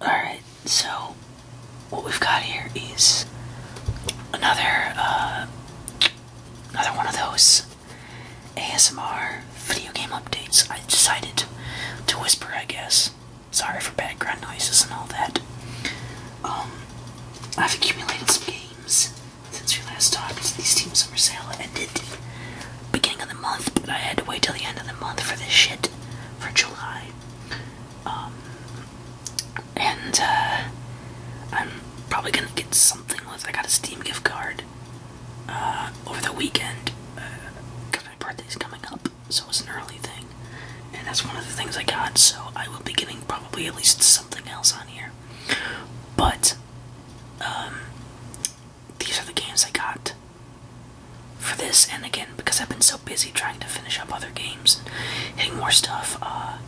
Alright, so what we've got here is another uh, another one of those ASMR video game updates. I decided to whisper, I guess. Sorry for background noises and all that. Um, I've accumulated some games since we last talked. These teams summer sale ended beginning of the month, but I had to wait till the end of the month for this shit for July. Um, and uh, I'm probably gonna get something with. I got a Steam gift card uh, over the weekend because uh, my birthday's coming up, so it was an early thing, and that's one of the things I got. So I will be getting probably at least something else on here, but um, these are the games I got for this. And again, because I've been so busy trying to finish up other games and hitting more stuff, uh,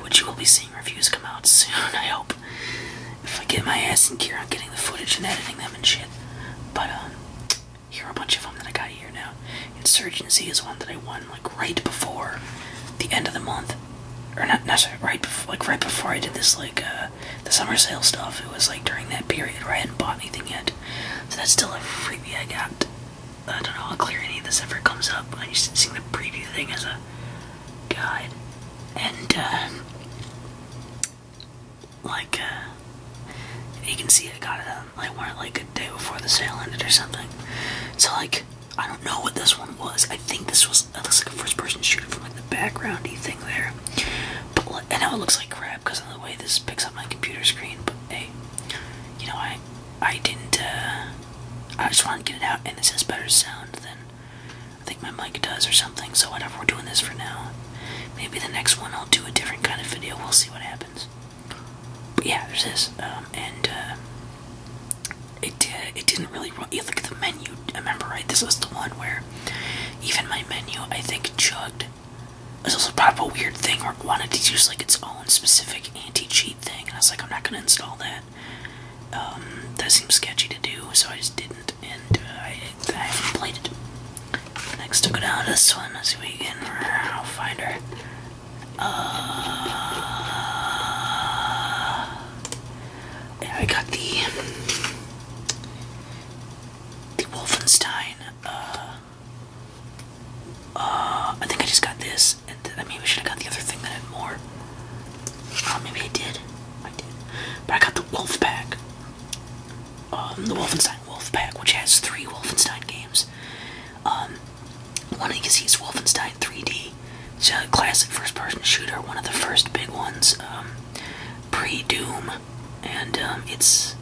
which you will be seeing reviews come out soon, I hope. If I get my ass in gear on getting the footage and editing them and shit. But, um, here are a bunch of them that I got here now. Insurgency is one that I won, like, right before the end of the month. Or not, not right before, like, right before I did this, like, uh, the summer sale stuff. It was like during that period where I hadn't bought anything yet. So that's still a freebie I got. I don't know, I'll clear any of this if it comes up. I'm just seeing the preview thing as a guide. And, uh, like, uh, you can see I got it on, um, like, like, a day before the sale ended or something. So, like, I don't know what this one was. I think this was, it looks like a first person shooter from, like, the backgroundy thing there. But, I know it looks like crap because of the way this picks up my computer screen, but hey, you know, I, I didn't, uh, I just want to get it out, and this has better sound than I think my mic does or something, so whatever, we're doing this for now. Maybe the next one I'll do a different kind of video, we'll see what happens. But yeah, there's this, um, and, uh, it, uh, it didn't really run, you look at the menu, I remember right, this was the one where even my menu, I think, chugged. This also part of a weird thing or wanted to use like its own specific anti-cheat thing, and I was like, I'm not gonna install that. Um, that seems sketchy to do, so I just didn't, and uh, I, haven't played it. Next, to go down to this one as we can find her. Uh, I got the the Wolfenstein. Uh, uh, I think I just got this, I maybe I should have got the other thing that had more. Uh, maybe I did. I did. But I got the Wolf Pack. Um, the Wolfenstein Wolf Pack, which has three Wolfenstein games. Um, one of these is Wolfenstein 3D. It's a classic first-person shooter, one of the first big ones. Um, pre-Doom, and um, it's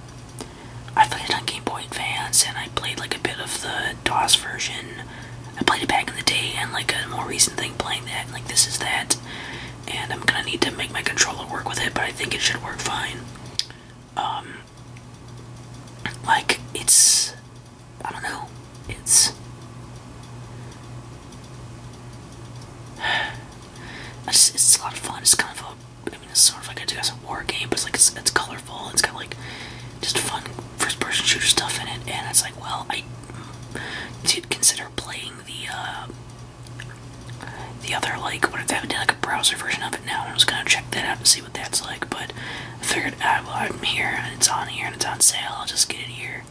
I played it on Game Boy Advance, and I played like a bit of the DOS version. I played it back in the day, and like a more recent thing playing that, like this is that, and I'm gonna need to make my controller work with it, but I think it should work fine. Um, like it's I don't know, it's. It's, a lot of fun. It's kind of a, I mean, it's sort of like a war game, but it's like it's, colorful. It's got like just fun first-person shooter stuff in it, and it's like, well, I did consider playing the uh, the other like what if they haven't like a browser version of it now? And I was gonna check that out to see what that's like, but I figured, I ah, well, I'm here and it's on here and it's on sale. I'll just get it here.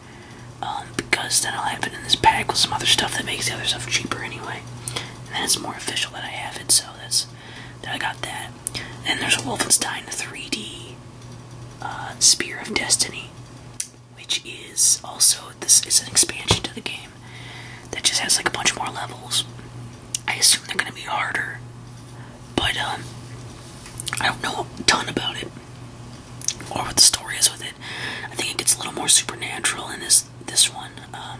Um, because then I'll have it in this pack with some other stuff that makes the other stuff cheaper anyway. And it's more official that I have it, so that's that I got that. And there's a Wolfenstein 3D uh, Spear of Destiny, which is also this is an expansion to the game that just has like a bunch more levels. I assume they're gonna be harder, but um, I don't know a ton about it or what the story is with it. I think it gets a little more supernatural in this this one. Um,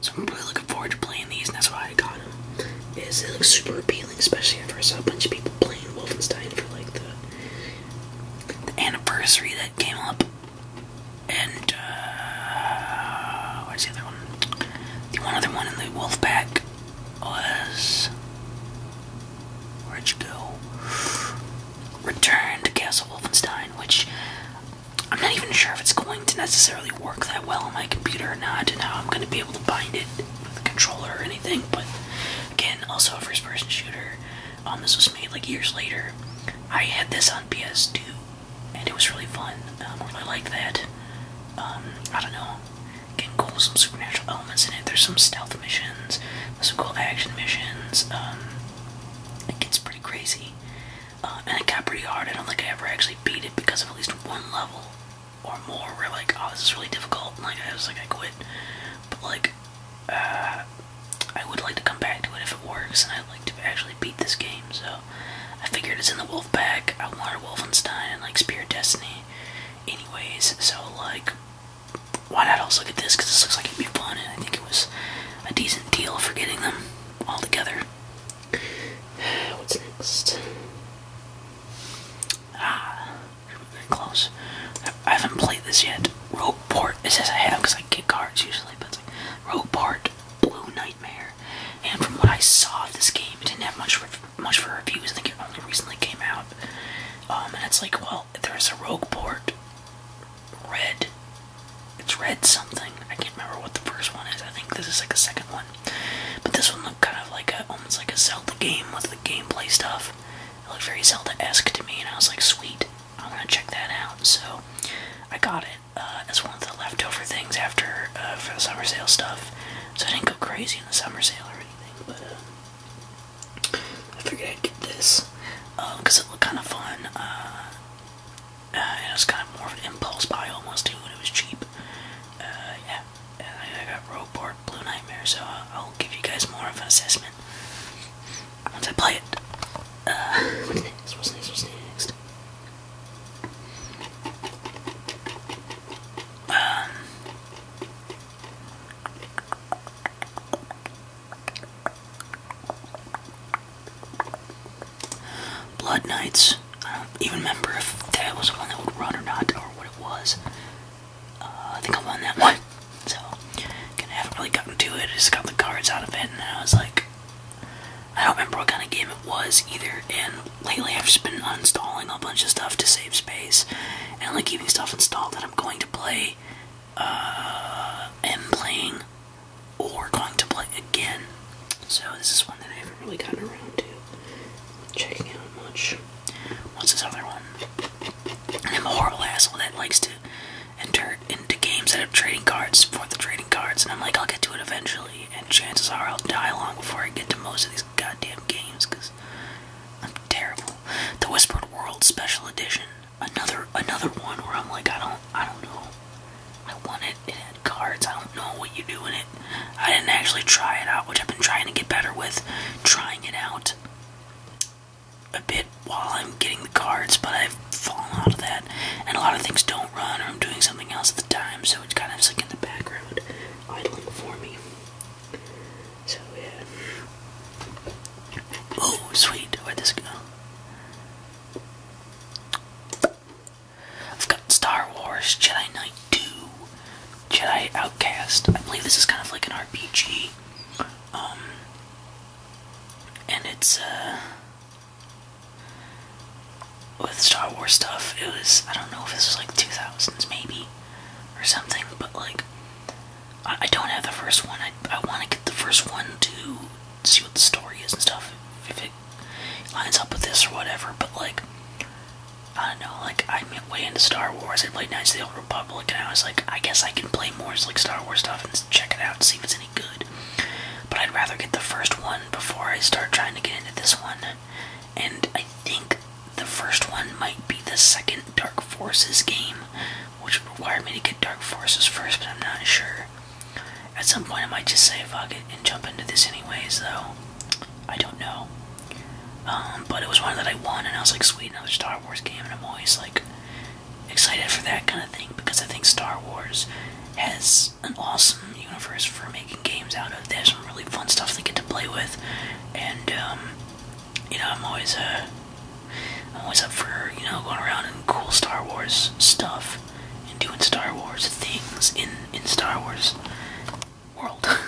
so I'm really looking forward to playing these, and that's why I got them. Is it looks super appealing, especially after I saw a bunch of people playing Wolfenstein for like the, anniversary that came up. And uh, where's the other one? The one other one in the wolf pack was where'd you go? Return to Castle Wolfenstein, which I'm not even sure if it's going to necessarily work that well on my computer or not, and how I'm going to be able to bind it with a controller or anything. But again, also a first person shooter. Um, this was made like years later. I had this on PS2, and it was really fun. Um, I really liked that. Um, I don't know. Getting cool with supernatural um, there's some stealth missions, there's some cool action missions. Um, it gets pretty crazy, uh, and it got pretty hard. I don't think I ever actually beat it because of at least one level or more where like, oh, this is really difficult. And, like I was like, I quit. But like, uh, I would like to come back to it if it works, and I'd like to actually beat this game. So I figured it's in the Wolf Pack. I want Wolfenstein and like Spirit Destiny, anyways. So like, why not also look at this? Because this looks like it'd be fun, and I think it was a decent deal for getting them all together. What's next? Ah, close. I haven't played this yet. Rogue Port. It says I have because I get cards usually, but it's like Rogueport Blue Nightmare. And from what I saw of this game, it didn't have much for, much for reviews. I think it only recently came out. Um, and it's like, well, there's a Rogue Port red. It's red something. I can't remember what the first one is. I think this is like a second one. But this one looked kind of like almost like a Zelda game with the gameplay stuff. It looked very Zelda-esque to me, and I was like, sweet, I am going to check that out. So I got it uh, as one of the leftover things after uh, for the summer sale stuff. So I didn't go crazy in the summer sale or anything, but uh, I figured I'd get this because um, it looked kind of fun. Uh, uh, it was kind of more of an impulse buy almost too, and it was cheap. Uh, yeah, I, got Rogue Blue Nightmare, so I'll, give you guys more of an assessment once I play it. what's next? What's next? What's next? Um, Blood Knights. I don't even remember if that was the one that would run or not, or what it was. Uh, I think I won that one. So, I haven't really gotten to it. I just got the cards out of it, and I was like, I don't remember what kind of game it was either. And lately, I've just been uninstalling a bunch of stuff to save space, and like keeping stuff installed that I'm going to play uh, am playing or going to play again. So this is one that I haven't really gotten around to checking out much. What's this other one? I'm a horrible asshole that likes to enter into games that have trading cards for the trading cards, and I'm like, I'll get to it eventually, and chances are I'll die long before I get to most of these goddamn games, because I'm terrible. The Whispered World Special Edition. Another another one where I'm like, I don't I don't know. I want it. It had cards. I don't know what you do in it. I didn't actually try it out, which I've been trying to get better with. Trying it out a bit while I'm getting the cards, but I've fallen out of that. And a lot of things don't run, or I'm doing something else at the time, so it's kind of like in the background, idling for me. Oh sweet, where'd this go? I've got Star Wars Jedi Knight 2, Jedi Outcast. I believe this is kind of like an RPG. Um and it's uh with Star Wars stuff, it was I don't know if this was like two thousands maybe or something, but like I, don't have the first one. I, I want to get the first one to see what the story is and stuff. If it lines up with this or whatever, but like, I don't know. Like, I'm way into Star Wars. I played Knights of the Old Republic, and I was like, I guess I can play more like Star Wars stuff and check it out see if it's any good. But I'd rather get the first one before I start trying to get into this one. And I think the first one might be the second Dark Forces game, which would require me to get Dark Forces first, but I'm not sure. At some point, I might just say fuck it and jump into this anyways, though. I don't know. Um, but it was one that I won, and I was like, sweet, another Star Wars game, and I'm always like excited for that kind of thing because I think Star Wars has an awesome universe for making games out of. They have some really fun stuff they get to play with, and um, you know, I'm always uh, I'm always up for you know going around and cool Star Wars stuff and doing Star Wars things in in Star Wars world. Star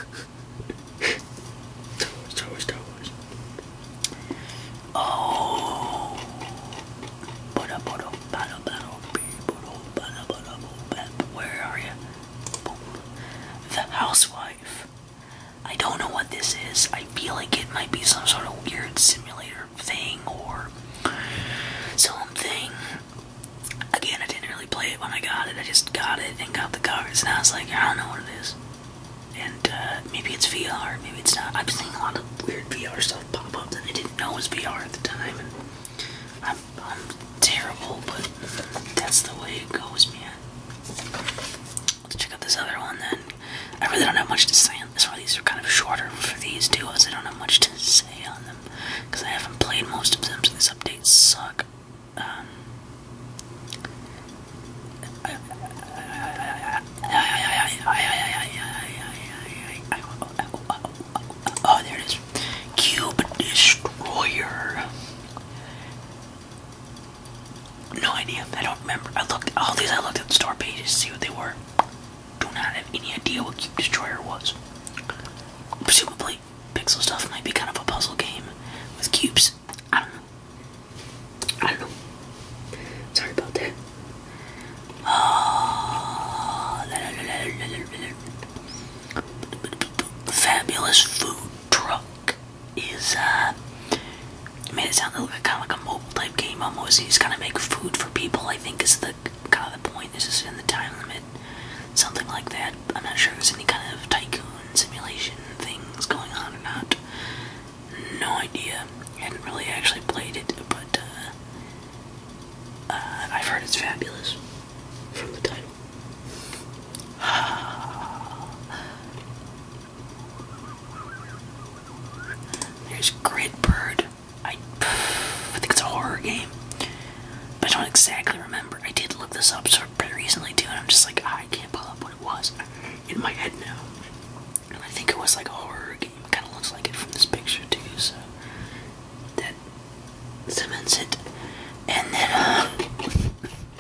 Wars, Star Wars, Star Wars. Oh, where are you? The housewife I don't know what this is. I feel like it might be some sort of weird simulator thing or something. Again, I didn't really play it when I got it. I just got it and got the cards, and I was like, I don't know what it is. And uh, maybe it's VR, maybe it's not. I've seeing a lot of weird VR stuff pop up that I didn't know was VR at the time. And I'm terrible, but that's the way it goes, man. Let's check out this other one then. I really don't have much to say on this one. These are kind of shorter for these duos. I don't have much to say on them because I haven't played most of them, so these updates suck. Oh, there it is. Cube Destroyer. No idea. I don't remember. I looked all these. I looked at the store pages to see what they were. Do not have any idea what Cube Destroyer was. Presumably, pixel stuff might be kind of a puzzle game with cubes. I don't know. I don't know. Sorry about that. Uh, Fabulous food truck is, uh, made it sound like kind of like a mobile type game almost. You just kind of make food for people, I think, is the kind of the point. This is in the time limit, something like that. I'm not sure there's any kind of tycoon simulation things going on or not. No idea. I hadn't really actually played it, but uh, uh, I've heard it's fabulous from the title. There's Gridbird. I, I think it's a horror game, but I don't exactly remember. I did look this up sort of pretty recently too, and I'm just like, ah, I can't pull up what it was in my head now. And I think it was like a horror game. Kind of looks like it from this picture too. So that cements it. And then, uh,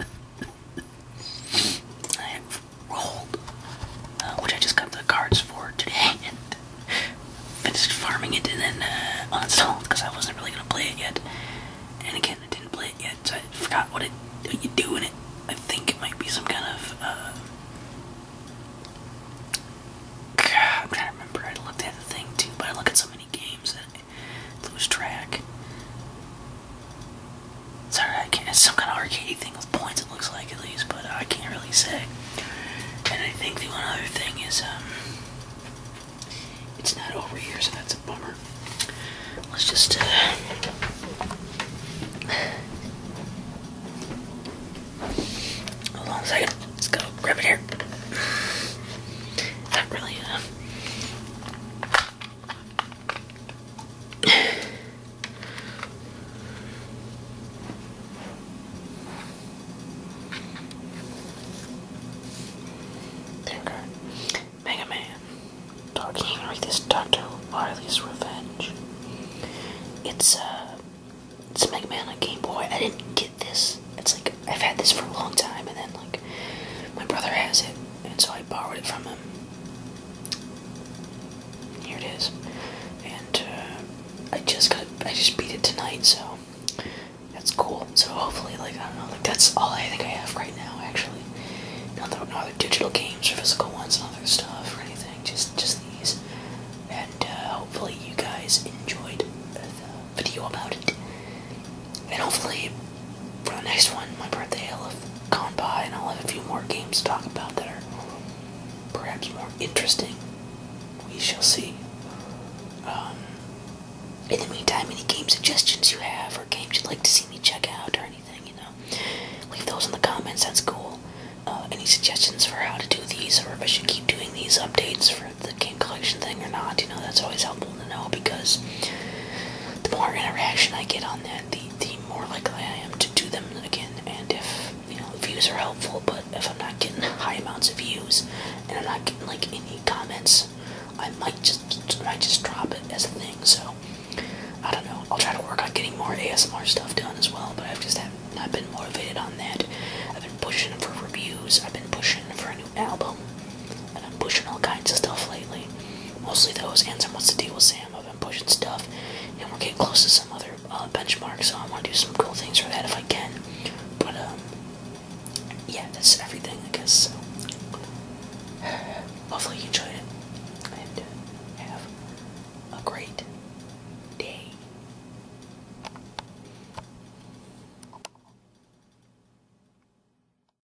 I have rolled, uh, which I just got the cards for today and finished farming it and then uh, uninstalled because I wasn't really going to play it yet. And again, I didn't play it yet, so I forgot what, it, what you do in it. I think it might be some kind of. Uh, I'm trying to remember. I looked at the thing too, but I look at so many games lose track. Sorry, I can't. It's some kind of arcade thing with points. It looks like at least, but I can't really say. And I think the one other thing is, um, it's not over here, so that's a bummer. Let's just. Uh, hold on a second. Let's go grab it here. Not really. Uh, Mega Man. Dark Henry, this Dr. Wily's Revenge. It's, uh, it's Mega Man on Game Boy. I didn't get this. It's like, I've had this for a long time, and then, like, my brother has it, and so I borrowed it from him. Here it is. And uh, I just got I just beat it tonight, so that's cool. So hopefully like I don't know, like that's all I think I have right now actually. Not no other digital games or physical ones and other stuff or anything, just just these. And uh, hopefully you guys enjoyed the video about it. And hopefully for the next one, my birthday, I'll have gone by and I'll have a few more games to talk about that are perhaps more interesting. We shall see. Um, in the meantime, any game suggestions you have or games you'd like to see me check out or anything, you know, leave those in the comments. That's cool. Uh, any suggestions for how to do these or if I should keep doing these updates for the game collection thing or not, you know, that's always helpful people to know because the more interaction I get on that, the the more likely I am to do them again. And if you know views are helpful, but if I'm not getting high amounts of views and I'm not getting like any comments, I might just I might just drop it as a thing. So I don't know. I'll try to work on getting more ASMR stuff done as well, but I've just have not been motivated on that. I've been pushing for reviews. I've been pushing for a new album, and I'm pushing all kinds of stuff lately. Mostly those, and some wants to deal with Sam. I've been pushing stuff, and we're getting close to some other uh, benchmark, so I want to do some cool things for that if I can. But, um, yeah, that's everything, I guess, Hopefully you enjoyed it, and uh, have a great day.